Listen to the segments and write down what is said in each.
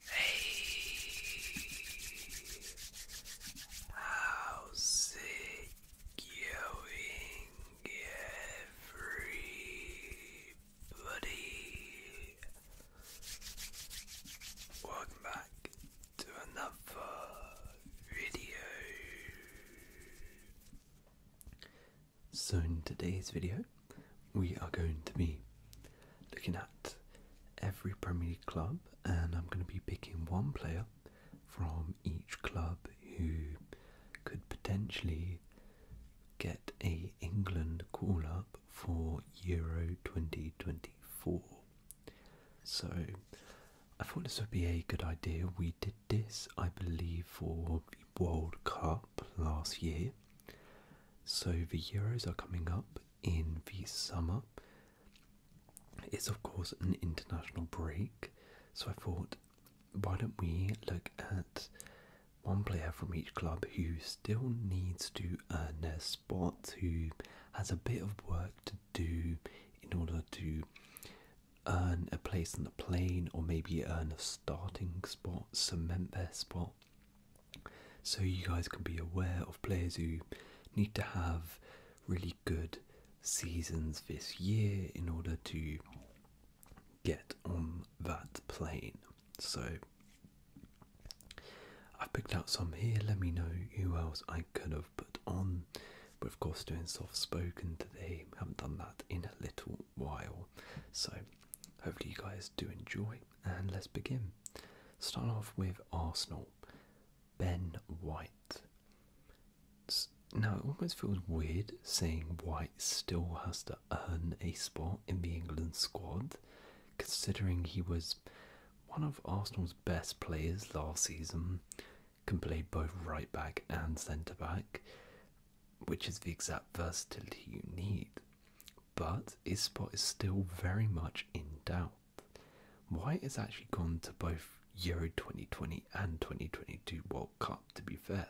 Hey, how's it going, everybody? Welcome back to another video. So, in today's video, we are going to be looking at every Premier League club, and I'm going to be picking one player from each club who could potentially get a England call up for Euro 2024. So I thought this would be a good idea. We did this, I believe, for World Cup last year. So the Euros are coming up in the summer. It's, of course, an international break. So I thought, why don't we look at one player from each club who still needs to earn their spot, who has a bit of work to do in order to earn a place on the plane or maybe earn a starting spot, cement their spot so you guys can be aware of players who need to have really good seasons this year in order to get on that plane. So I've picked out some here. Let me know who else I could have put on. but of course doing soft spoken today. Haven't done that in a little while. So Hopefully, you guys do enjoy, and let's begin. Start off with Arsenal. Ben White. Now, it almost feels weird saying White still has to earn a spot in the England squad, considering he was one of Arsenal's best players last season, can play both right back and centre back, which is the exact versatility you need. But Ispot is still very much in doubt. White has actually gone to both Euro 2020 and 2022 World Cup, to be fair,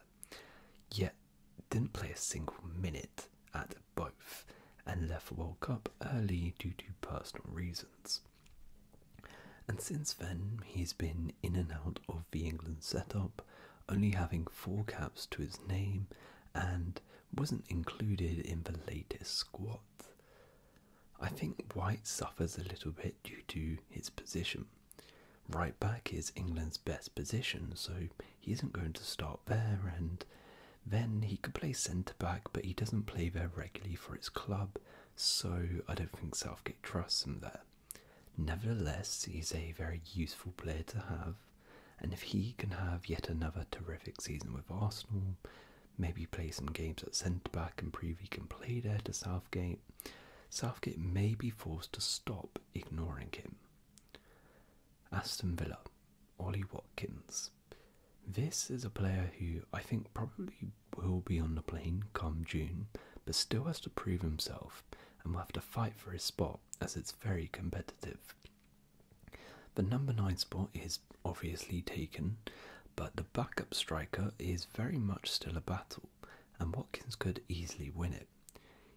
yet didn't play a single minute at both and left World Cup early due to personal reasons. And since then, he's been in and out of the England setup only having four caps to his name and wasn't included in the latest squad. I think White suffers a little bit due to his position. Right back is England's best position, so he isn't going to start there, and then he could play centre back, but he doesn't play there regularly for his club, so I don't think Southgate trusts him there. Nevertheless, he's a very useful player to have, and if he can have yet another terrific season with Arsenal, maybe play some games at centre back and prove he can play there to Southgate, Southgate may be forced to stop ignoring him. Aston Villa, Ollie Watkins. This is a player who I think probably will be on the plane come June, but still has to prove himself and will have to fight for his spot as it's very competitive. The number 9 spot is obviously taken, but the backup striker is very much still a battle, and Watkins could easily win it.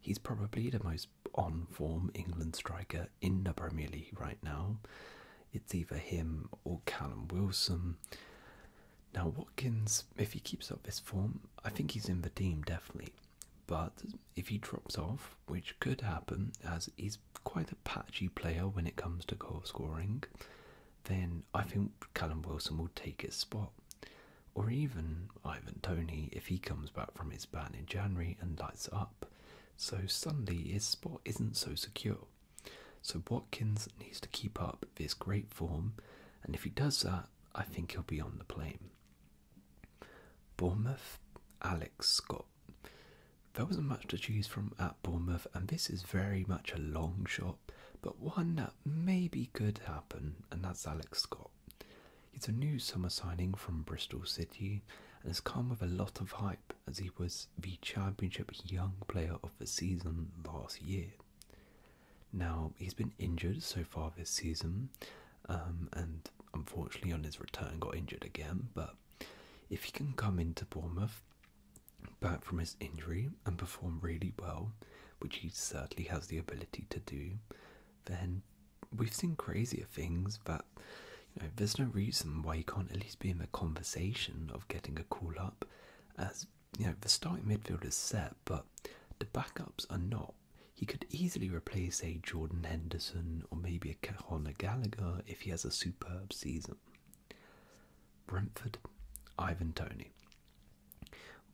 He's probably the most on form England striker in the Premier League right now. It's either him or Callum Wilson. Now, Watkins, if he keeps up this form, I think he's in the team definitely. But if he drops off, which could happen as he's quite a patchy player when it comes to goal scoring, then I think Callum Wilson will take his spot. Or even Ivan Tony if he comes back from his ban in January and lights up. So suddenly his spot isn't so secure. So Watkins needs to keep up this great form, and if he does that, I think he'll be on the plane. Bournemouth, Alex Scott. There wasn't much to choose from at Bournemouth, and this is very much a long shot, but one that maybe could happen, and that's Alex Scott. He's a new summer signing from Bristol City and has come with a lot of hype as he was the Championship Young Player of the Season last year. Now, he's been injured so far this season, um, and unfortunately on his return got injured again. But if he can come into Bournemouth back from his injury and perform really well, which he certainly has the ability to do, then we've seen crazier things But there's no reason why he can't at least be in the conversation of getting a call up as you know, the starting midfield is set, but the backups are not. He could easily replace a Jordan Henderson or maybe a Cahona Gallagher if he has a superb season. Brentford, Ivan Tony.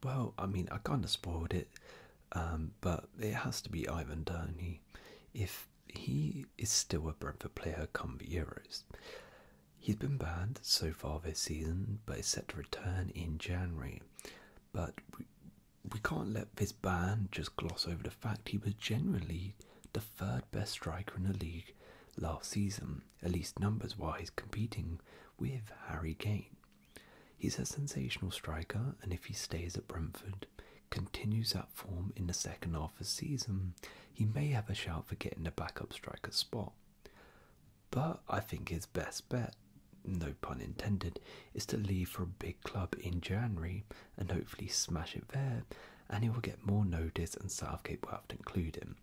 Well, I mean, I kind of spoiled it, um, but it has to be Ivan Tony if he is still a Brentford player come the Euros. He's been bad so far this season but is set to return in January. But we, we can't let this ban just gloss over the fact he was genuinely the third best striker in the league last season, at least numbers wise, competing with Harry Kane. He's a sensational striker, and if he stays at Brentford, continues that form in the second half of the season, he may have a shout for getting the backup striker spot. But I think his best bet, no pun intended, is to leave for a big club in January and hopefully smash it there, and he will get more notice and Southgate will have to include him.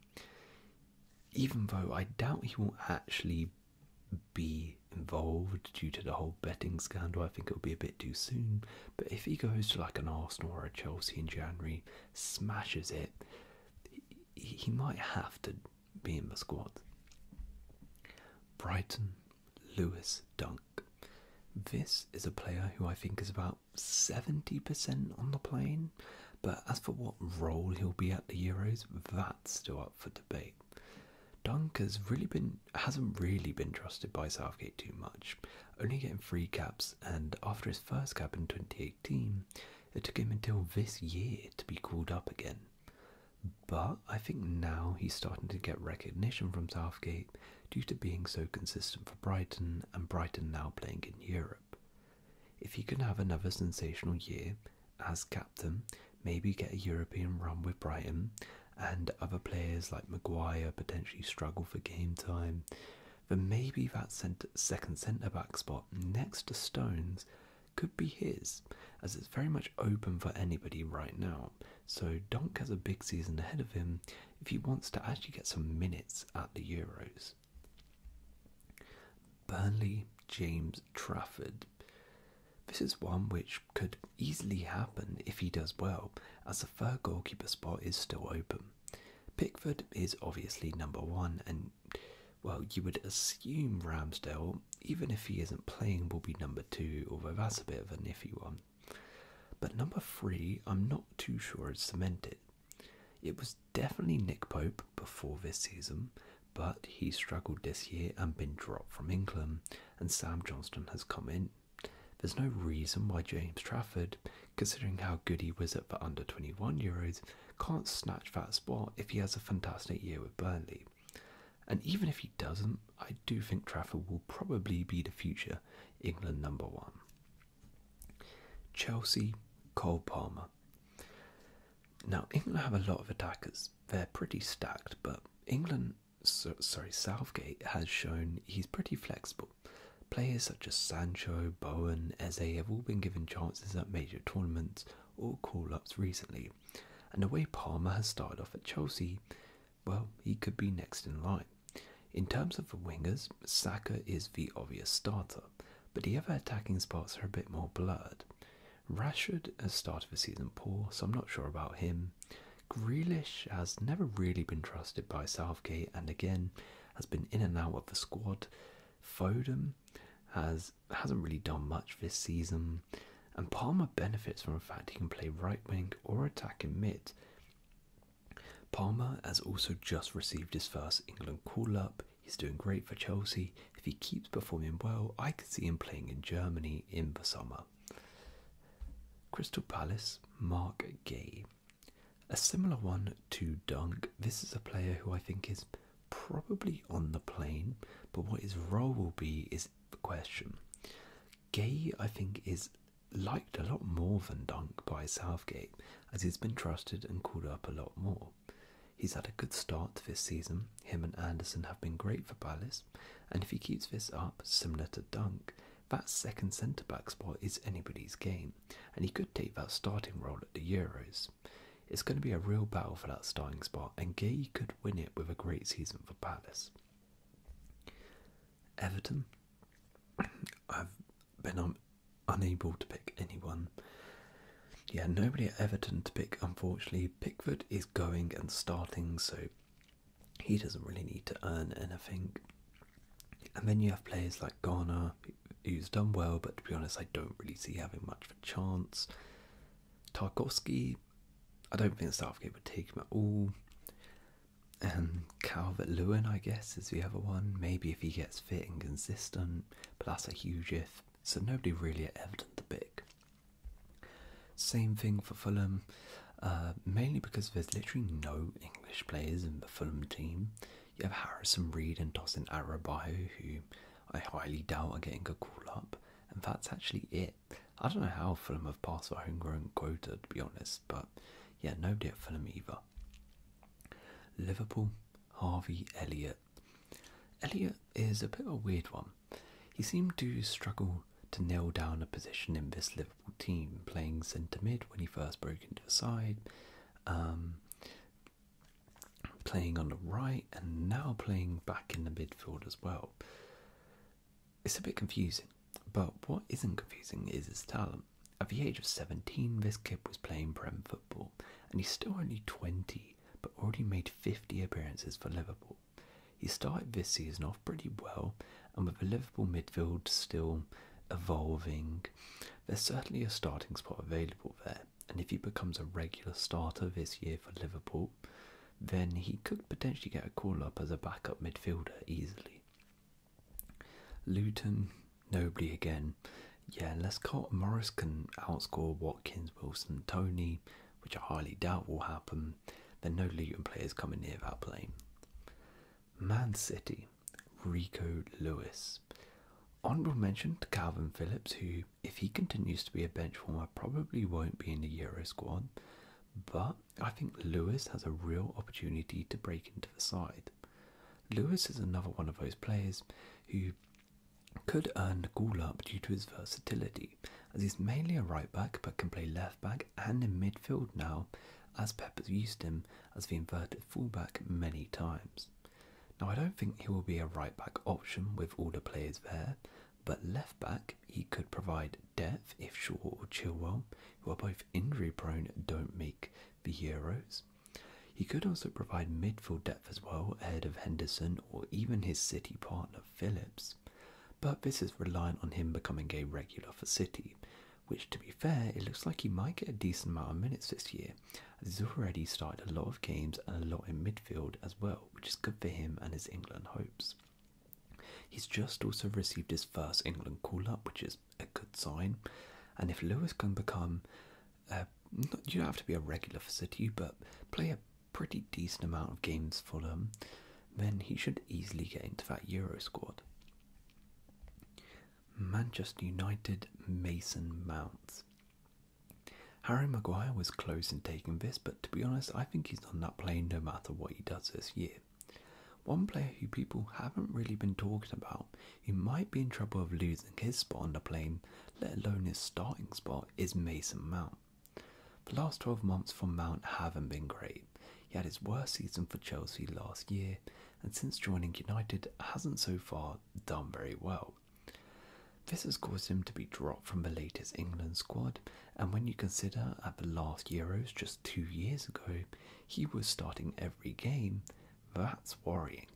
Even though I doubt he will actually be involved due to the whole betting scandal, I think it'll be a bit too soon. But if he goes to like an Arsenal or a Chelsea in January, smashes it, he, might have to be in the squad. Brighton, Lewis Dunk. This is a player who I think is about 70% on the plane, but as for what role he'll be at the Euros, that's still up for debate. Dunk has really been hasn't really been trusted by Southgate too much, only getting three caps and after his first cap in 2018 it took him until this year to be called up again. But I think now he's starting to get recognition from Southgate due to being so consistent for Brighton and Brighton now playing in Europe. If he can have another sensational year as captain, maybe get a European run with Brighton and other players like Maguire potentially struggle for game time, then maybe that second centre back spot next to Stones could be his, as it's very much open for anybody right now. So Donk has a big season ahead of him if he wants to actually get some minutes at the Euros. Burnley James Trafford. This is one which could easily happen if he does well, as the third goalkeeper spot is still open. Pickford is obviously number one, and well, you would assume Ramsdale, even if he isn't playing, will be number two, although that's a bit of a iffy one. But number three, I'm not too sure it's cemented. It was definitely Nick Pope before this season, but he struggled this year and been dropped from England, and Sam Johnston has come in. There's no reason why James Trafford, considering how good he was at for under 21 Euros, can't snatch that spot if he has a fantastic year with Burnley. And even if he doesn't, I do think Trafford will probably be the future England number one. Chelsea, Cole Palmer. Now, England have a lot of attackers. They're pretty stacked, but England, sorry, Southgate has shown he's pretty flexible. Players such as Sancho, Bowen, Eze have all been given chances at major tournaments or call ups recently, and the way Palmer has started off at Chelsea, well, he could be next in line. In terms of the wingers, Saka is the obvious starter, but the other attacking spots are a bit more blurred. Rashford has started the season poor, so I'm not sure about him. Grealish has never really been trusted by Southgate and again has been in and out of the squad, Foden has hasn't really done much this season, and Palmer benefits from the fact he can play right wing or attack in mid. Palmer has also just received his first England call up. He's doing great for Chelsea. If he keeps performing well, I could see him playing in Germany in the summer. Crystal Palace, Mark Gay. A similar one to Dunk. This is a player who I think is probably on the plane, but what his role will be is the question. Gay, I think, is liked a lot more than Dunk by Southgate, as he's been trusted and called up a lot more. He's had a good start this season. Him and Anderson have been great for Palace, and if he keeps this up, similar to Dunk, that second centre back spot is anybody's game and he could take that starting role at the Euros. It's going to be a real battle for that starting spot, and Gay could win it with a great season for Palace. Everton, I've been unable to pick anyone. Yeah, nobody at Everton to pick, unfortunately. Pickford is going and starting, so he doesn't really need to earn anything. And then you have players like Garner, who's done well, but to be honest, I don't really see having much of a chance. Tarkovsky, I don't think Southgate would take him at all. And Calvert Lewin, I guess, is the other one. Maybe if he gets fit and consistent, but that's a huge if. So nobody really at the big. Same thing for Fulham, uh, mainly because there's literally no English players in the Fulham team. You have Harrison Reed and Tosin Arabahu, who I highly doubt are getting a call up, and that's actually it. I don't know how Fulham have passed their homegrown quota, to be honest, but yeah, nobody at Fulham either. Liverpool, Harvey Elliott. Elliott is a bit of a weird one. He seemed to struggle to nail down a position in this Liverpool team, playing centre mid when he first broke into the side, um, playing on the right, and now playing back in the midfield as well. It's a bit confusing, but what isn't confusing is his talent. At the age of 17, this kid was playing Prem football, and he's still only 20 but already made 50 appearances for Liverpool. He started this season off pretty well, and with the Liverpool midfield still evolving there's certainly a starting spot available there, and if he becomes a regular starter this year for Liverpool, then he could potentially get a call up as a backup midfielder easily. Luton, nobly again. Yeah, unless Carlton Morris can outscore Watkins, Wilson, Tony, which I highly doubt will happen, then no Luton players coming near that plane. Man City. Rico Lewis. Honourable mention to Calvin Phillips, who, if he continues to be a bench warmer, probably won't be in the Euro squad. But I think Lewis has a real opportunity to break into the side. Lewis is another one of those players who could earn the goal up due to his versatility, as he's mainly a right back but can play left and in midfield now, as Pep used him as the inverted fullback many times. Now, I don't think he will be a right back option with all the players there, but left back he could provide depth if Shaw or Chilwell, who are both injury prone, don't make the heroes. He could also provide midfield depth as well ahead of Henderson or even his City partner Phillips. But this is reliant on him becoming a regular for City, which to be fair, it looks like he might get a decent amount of minutes this year, as he's already started a lot of games and a lot in midfield as well, which is good for him and his England hopes. He's just also received his first England call up, which is a good sign. And if Lewis can become, uh, you don't have to be a regular for City, but play a pretty decent amount of games for them, then he should easily get into that Euro squad. Manchester United Mason Mount. Harry Maguire was close in taking this, but to be honest, I think he's on that plane no matter what he does this year. One player who people haven't really been talking about, who might be in trouble of losing his spot on the plane, let alone his starting spot, is Mason Mount. The last 12 months for Mount haven't been great. He had his worst season for Chelsea last year and since joining United hasn't so far done very well. This has caused him to be dropped from the latest England squad, and when you consider at the last Euros just two years ago, he was starting every game, that's worrying.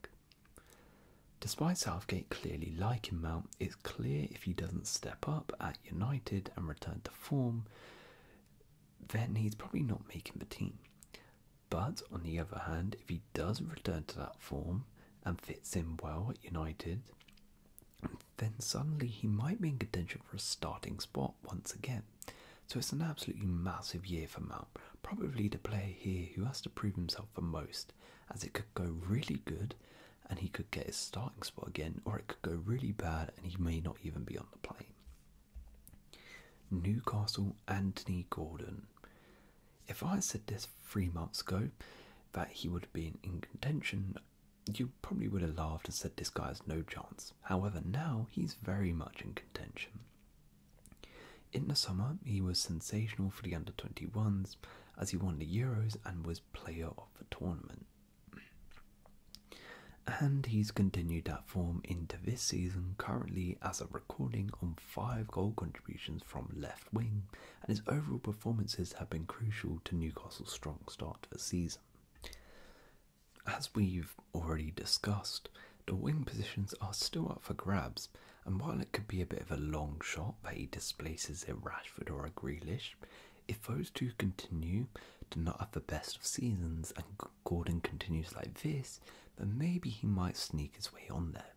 Despite Southgate clearly liking Mount, it's clear if he doesn't step up at United and return to form, then he's probably not making the team. But on the other hand, if he does return to that form and fits in well at United, then suddenly he might be in contention for a starting spot once again. So it's an absolutely massive year for Mount, probably the player here who has to prove himself the most, as it could go really good and he could get his starting spot again, or it could go really bad and he may not even be on. Newcastle Anthony Gordon. If I had said this three months ago that he would have been in contention, you probably would have laughed and said this guy has no chance. However, now he's very much in contention. In the summer, he was sensational for the under 21s as he won the Euros and was player of the tournament. And he's continued that form into this season, currently as a recording on five goal contributions from left wing, and his overall performances have been crucial to Newcastle's strong start to the season. As we've already discussed, the wing positions are still up for grabs, and while it could be a bit of a long shot that he displaces a Rashford or a Grealish, if those two continue, did not have the best of seasons, and Gordon continues like this, then maybe he might sneak his way on there.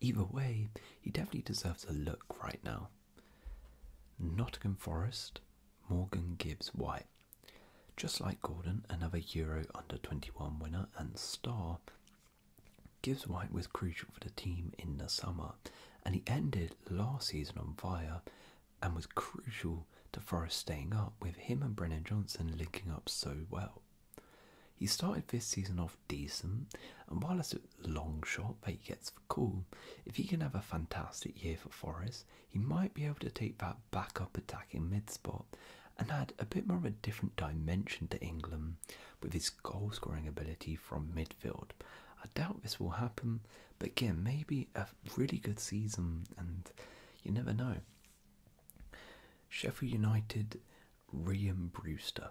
Either way, he definitely deserves a look right now. Nottingham Forest, Morgan Gibbs White. Just like Gordon, another Euro under 21 winner and star, Gibbs White was crucial for the team in the summer and he ended last season on fire and was crucial to Forrest staying up, with him and Brennan Johnson linking up so well. He started this season off decent, and while a long shot that he gets for cool, if he can have a fantastic year for Forrest, he might be able to take that back up attacking mid spot and add a bit more of a different dimension to England with his goal scoring ability from midfield. I doubt this will happen, but again, maybe a really good season, and you never know. Sheffield United, Rian Brewster.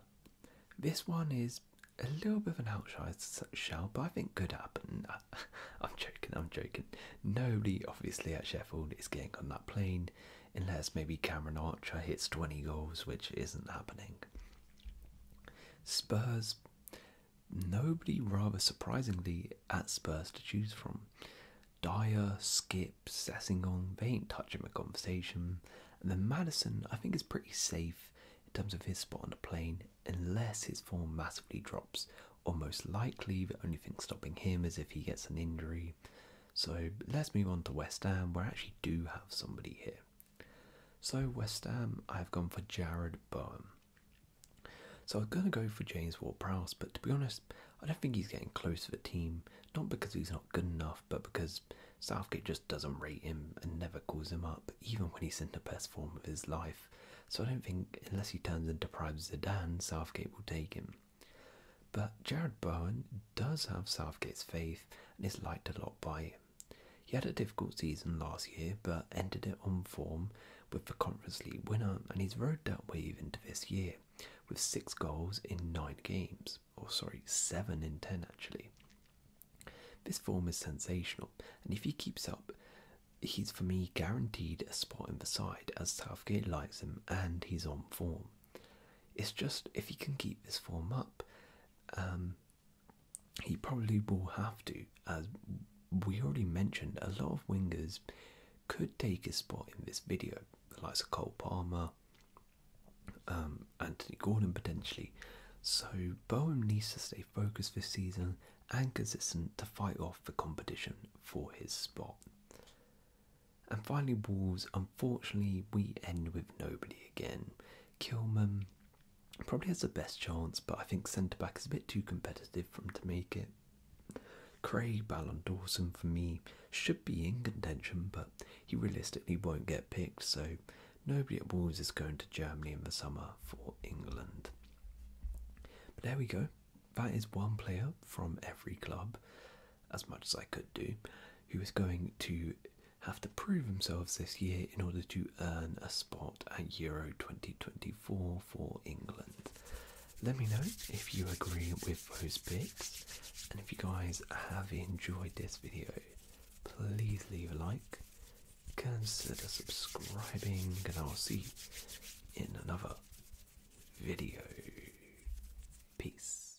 This one is a little bit of an outside shout, but I think could happen. Uh, I'm joking, I'm joking. Nobody, obviously, at Sheffield is getting on that plane unless maybe Cameron Archer hits 20 goals, which isn't happening. Spurs, nobody rather surprisingly at Spurs to choose from. Dyer, Skip, Sessingong, they ain't touching my conversation. And then Madison, I think, is pretty safe in terms of his spot on the plane, unless his form massively drops. Or most likely, the only thing stopping him is if he gets an injury. So let's move on to West Ham, where I actually do have somebody here. So West Ham, I have gone for Jared Bowen. So I'm going to go for James Ward-Prowse, but to be honest, I don't think he's getting close to the team. Not because he's not good enough, but because Southgate just doesn't rate him and never calls him up, even when he's in the best form of his life. So I don't think, unless he turns into Prime Zidane, Southgate will take him. But Jared Bowen does have Southgate's faith and is liked a lot by he had a difficult season last year but ended it on form with the Conference League winner, and he's rode that wave into this year with six goals in nine games, or sorry, seven in ten actually. This form is sensational, and if he keeps up, he's for me guaranteed a spot in the side as Southgate likes him and he's on form. It's just if he can keep this form up, um, he probably will have to, as we already mentioned, a lot of wingers could take a spot in this video, the likes of Cole Palmer, um, Anthony Gordon potentially. So Boehm needs to stay focused this season and consistent to fight off the competition for his spot. And finally, Wolves, unfortunately, we end with nobody again. Kilman, Probably has the best chance, but I think centre back is a bit too competitive for him to make it. Craig Ballon Dawson for me should be in contention, but he realistically won't get picked, so nobody at Wolves is going to Germany in the summer for England. But there we go. That is one player from every club, as much as I could do, who is going to have to prove themselves this year in order to earn a spot at Euro 2024 for England. Let me know if you agree with those picks, and if you guys have enjoyed this video, please leave a like, consider subscribing, and I'll see you in another video. Peace.